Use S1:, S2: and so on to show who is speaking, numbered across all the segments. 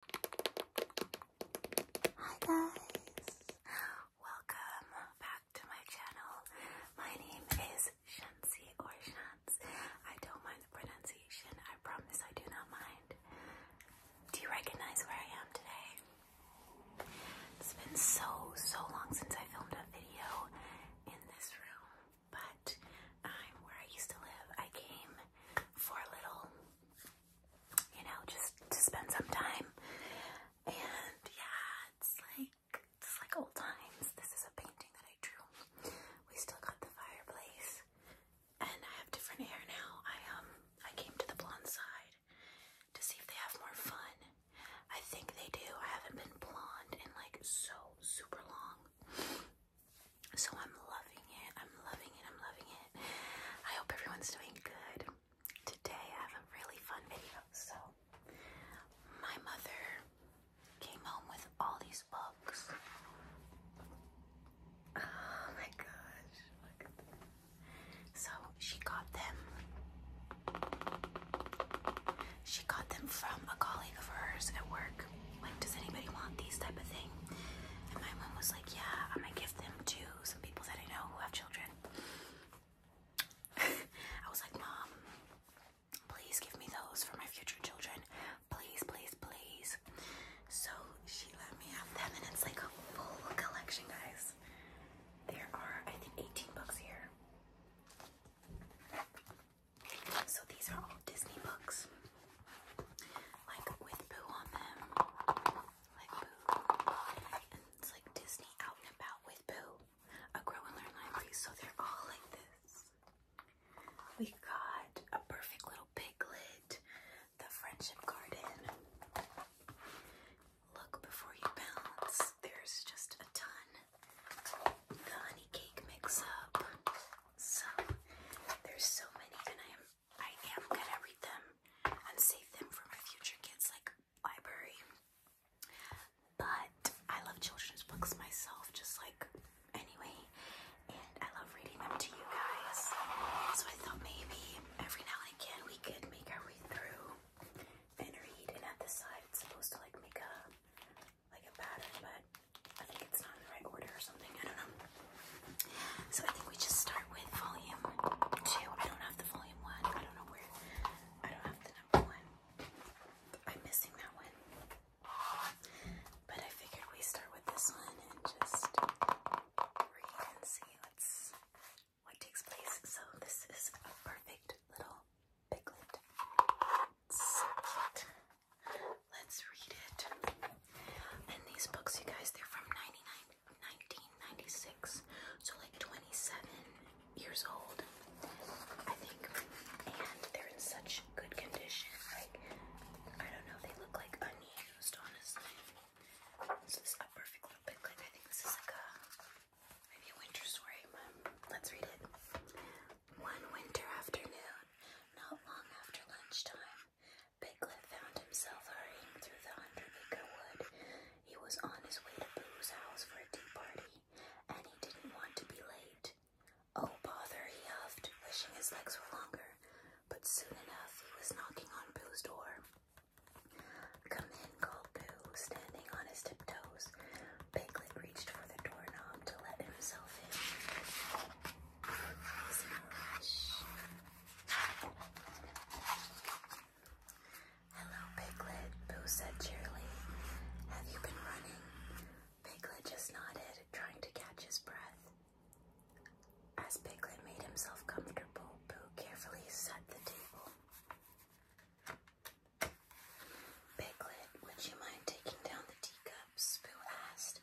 S1: Hi guys! Welcome back to my channel. My name is Shansi or Shans. I don't mind the pronunciation. I promise I do not mind. Do you recognize where I am today? It's been so, so long since I filmed a video in this room, but I'm where I used to live. I came for a little you know, just to spend some time. And yeah, it's like it's like old times. This is a painting that I drew. We still got the fireplace. And I have different hair now. I um I came to the blonde side to see if they have more fun. I think they do. I haven't been blonde in like so super long. So I'm loving it. I'm loving it. I'm loving it. I hope everyone's doing good. Today I have a really fun video. So my mother came home with all these books. Oh my gosh. So she got them. She got them from a colleague of hers at work like, does anybody want these type of thing? And my mom was like, yeah, I'm gonna give them to some people that I know who have children. I was like, mom, please give me those for my future children. Please, please, please. So she let me have them and it's like a full collection, guys. There are, I think, 18 books here. So these are all Disney books like with poo on them, like poo, and it's like Disney out and about with poo. A grow and learn library, so they're all like this. We got a perfect little piglet, the friendship garden. Look before you bounce. There's just a ton. The honey cake mix up. So there's so many, and I am I am gonna read them and save them for my future kids like library. But I love children's books myself, just like anyway, and I love reading them to you guys. So I thought maybe every now and again we could make our way through and read, and at the side it's supposed to like make a like a pattern, but I think it's not in the right order or something. I don't know. So I think we just start with volume two. I don't have the volume one. I don't know where. I don't have the number one. I'm missing that one. But I figured we start with this one and just read and see what takes place. So this is a perfect little piglet. Let's read it. And these books, you guys, they're from 1996, so like 27 years old, I think. And they're in such good condition. Like, I don't know, they look like unused, honestly. This is a perfect little bit. I think this is like a maybe a winter story. Um, let's read it. One winter afternoon, not long after lunchtime, Piglet found himself hurrying through the Hundred Acre Wood. He was on his way to Boo's house for a tea party, and he didn't want to be late. Oh, bother, he huffed, wishing his legs were longer. But soon enough, he was knocking on Boo's door. Come in, called Boo, standing on his tiptoes. Piglet reached for the doorknob to let himself in. Hello, Piglet. Boo said cheerily. Have you been running? Piglet just nodded, trying to catch his breath. As Piglet made himself comfortable, Boo carefully set the table. Piglet, would you mind taking down the teacups? Boo asked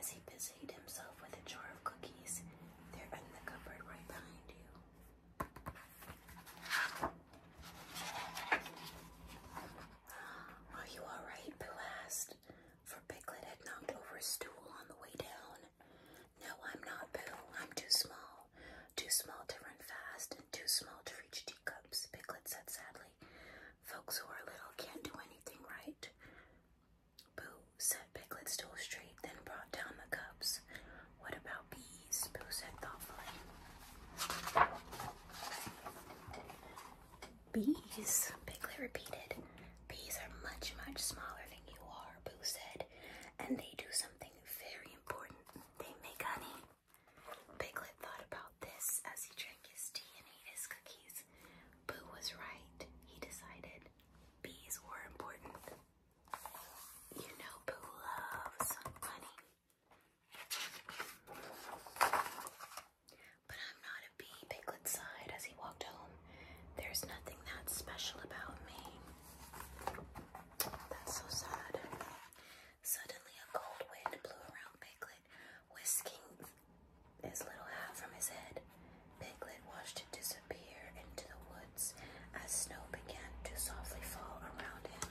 S1: as he busied himself with a jar of cookies. They're in the cupboard right behind you. Are you alright, Boo asked, for Piglet had knocked over a stool on the way down. No, I'm not, Boo. I'm too small. Too small to run fast and too small to reach teacups, Piglet said sadly. Folks who are little can't do anything right. Boo, said Piglet, still straight, then brought down the cups. What about bees? Boo said thoughtfully. Bees, Piglet repeated. Bees are much, much smaller than you are, Boo said, and they do something very important. They make honey. Piglet thought about this as he drank his tea and ate his cookies. Boo was right, he decided. Bees were important. You know, Boo loves honey. But I'm not a bee, Piglet sighed as he walked home. There's nothing that's special about me. That's so sad. Suddenly, a cold wind blew around Piglet, whisking his little hat from his head. Piglet watched it disappear into the woods as snow began to softly fall around him.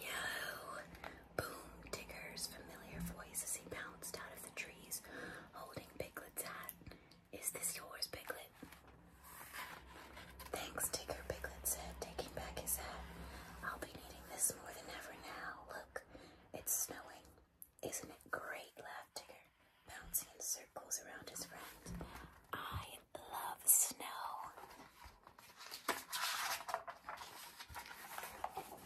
S1: Yo! Boom! Digger's familiar voice as he bounced out of the trees, holding Piglet's hat. Is this yours, Piglet? Thanks, Tigger, Piglet said, taking back his hat. I'll be needing this more than ever now. Look, it's snowing. Isn't it great? laughed Tigger, bouncing in circles around his friend. I love snow.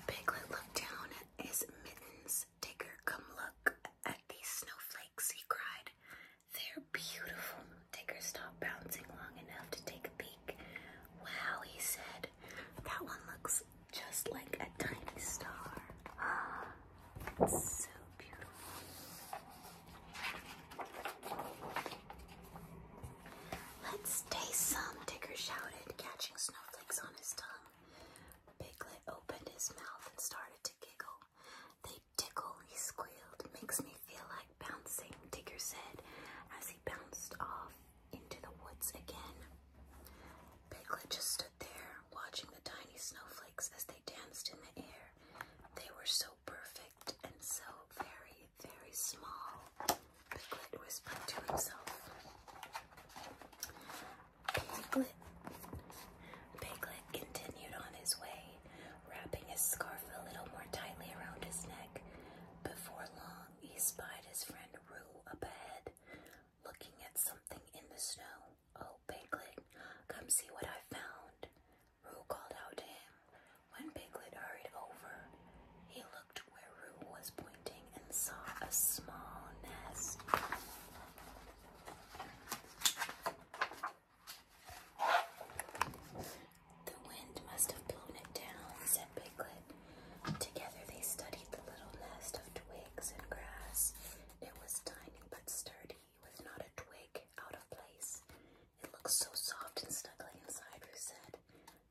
S1: Piglet looked down at his mittens says, Digger, come look at these snowflakes, he cried. They're beautiful. Digger stopped bouncing long enough to take a peek. Wow, he said, that one looks just like a tiny star. It's so beautiful. Let's taste some, Digger shouted, catching snowflakes on his tongue. Piglet opened his mouth and started to giggle. They tickle, he squealed. Makes me feel like bouncing, Tigger said as he bounced off into the woods again. Piglet just stood there, watching the tiny snowflakes as they danced in the air. They were so perfect and so very, very small, Piglet whispered to himself. Piglet. continued on his way, wrapping his scarf a little more tightly around his neck. Before long, he spied his friend Roo up ahead, looking at something in the snow. Oh, Piglet, come see what I found. Roo called out to him. When Piglet hurried over, he looked where Roo was pointing and saw a small nest. The wind must have blown it down, said Piglet. Together they studied the little nest of twigs and grass. It was tiny but sturdy, with not a twig out of place. It looked so soft and snugly inside, Ruth said,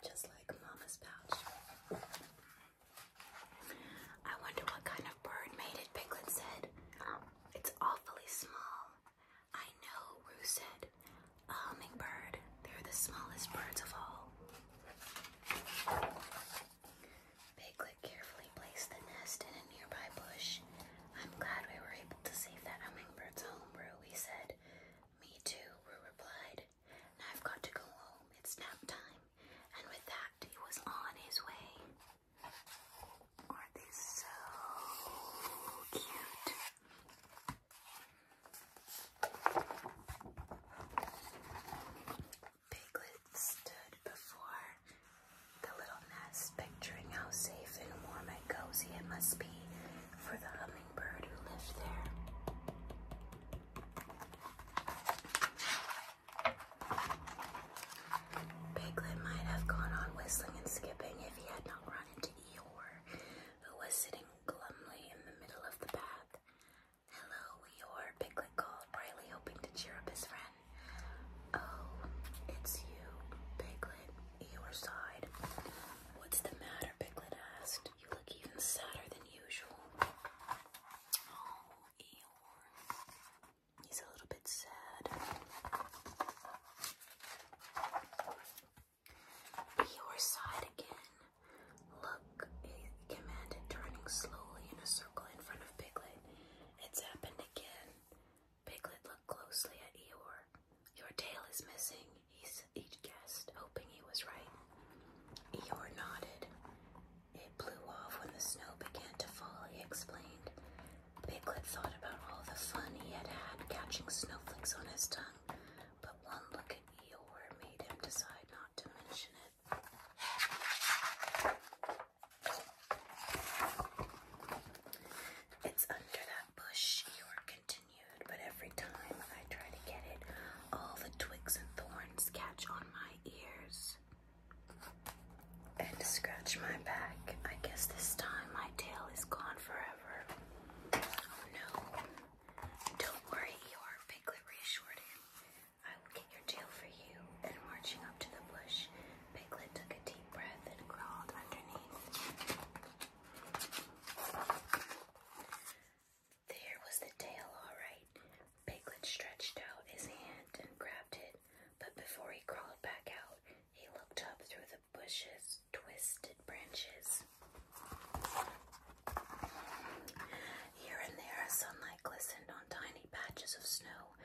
S1: just like Mama's pouch. I wonder what kind of bird made it, Piglet said. It's awfully small. I know, Roo said. A hummingbird. They're the smallest birds of all. Piglet carefully placed the nest in a nearby bush. I'm glad we were able to save that hummingbird's home, Roo, he said. Me too, Roo replied. I've got to go home. It's nap time. And with that, he was on his way. Aren't they so cute? Piglet stood before the little nest, picturing how safe and warm and cozy it must be for the hummingbird who lived there. Biglet might have gone on whistling and skipping if he had not run into Eeyore, who was sitting glumly in the middle of the path. Hello, Eeyore, Piglet called, brightly hoping to cheer up his friend. Oh, it's you, Biglet," Eeyore sighed. What's the matter, Biglet asked. You look even sadder than usual. Oh, Eeyore. He's a little bit sad. Eeyore's side again. Look, he commanded, turning slowly in a circle in front of Piglet. It's happened again. Piglet looked closely at Eeyore. Your tail is missing, he guessed, hoping he was right. Eeyore nodded. It blew off when the snow began to fall, he explained. Piglet thought about all the fun he had had catching snowflakes on his tongue, but one look at Eeyore made him decide not to mention it. It's under that bush, Eeyore continued, but every time I try to get it, all the twigs and thorns catch on my my ears and scratch my back. I guess this time my tail is gone forever. Oh no. Don't worry, Eeyore, Piglet reassured him. I will get your tail for you. And marching up to the bush, Piglet took a deep breath and crawled underneath. There was the tail, all right. Piglet stretched out his hand and grabbed it, but before he crawled back out, he looked up through the bushes, twisted branches. Here and there, sunlight glistened on tiny patches of snow,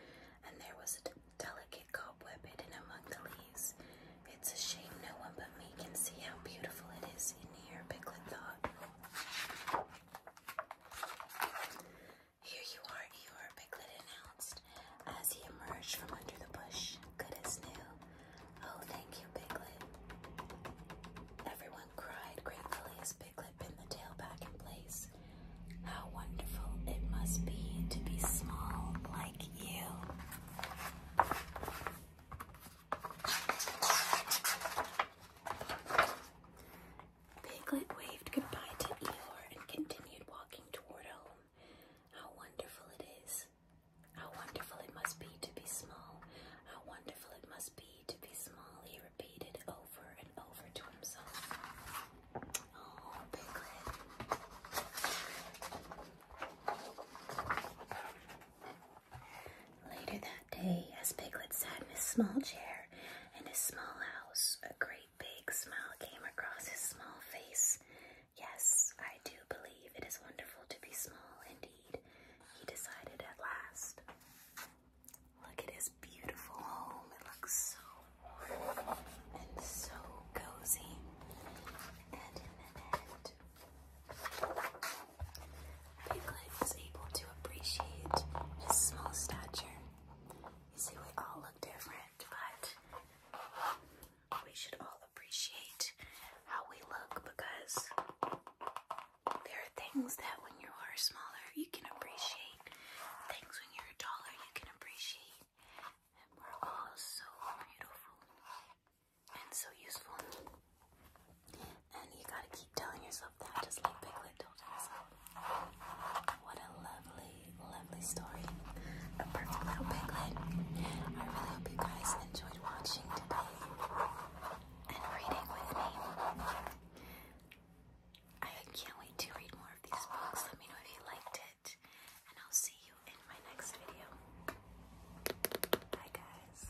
S1: and there was a delicate cobweb hidden among the leaves. It's a shame no one but me can see how beautiful it is in here, Piglet thought. Here you are, Eeyore, Piglet announced as he emerged from under the bush, good as new. Oh, thank you, Piglet. Everyone cried gratefully as Piglet pinned the tail back in place. How wonderful it must be to be small like you. Piglet waved goodbye to Eeyore and continued walking toward home. How wonderful it is! How wonderful it must be to be small! How wonderful it must be to be small, he repeated over and over to himself. Oh, Piglet. Later that day, as Piglet sat in his small chair in his small house, a great big smile came across his small face. Yes, I do believe it is wonderful to be small indeed, he decided at last. Look at his beautiful home. It looks so and so cozy. And in the end, Piglet was able to appreciate his small stature. You see, we all look different, but we should all appreciate how we look because there are things that when you are smaller, you can appreciate. Things when you're taller, you can appreciate. we're all so beautiful and so useful. And you gotta keep telling yourself that, just like Piglet told himself. What a lovely, lovely story. A perfect little piglet. I really hope you guys enjoyed watching today and reading with me. I can't wait to read more of these books. Let me know if you liked it, and I'll see you in my next video. Bye, guys.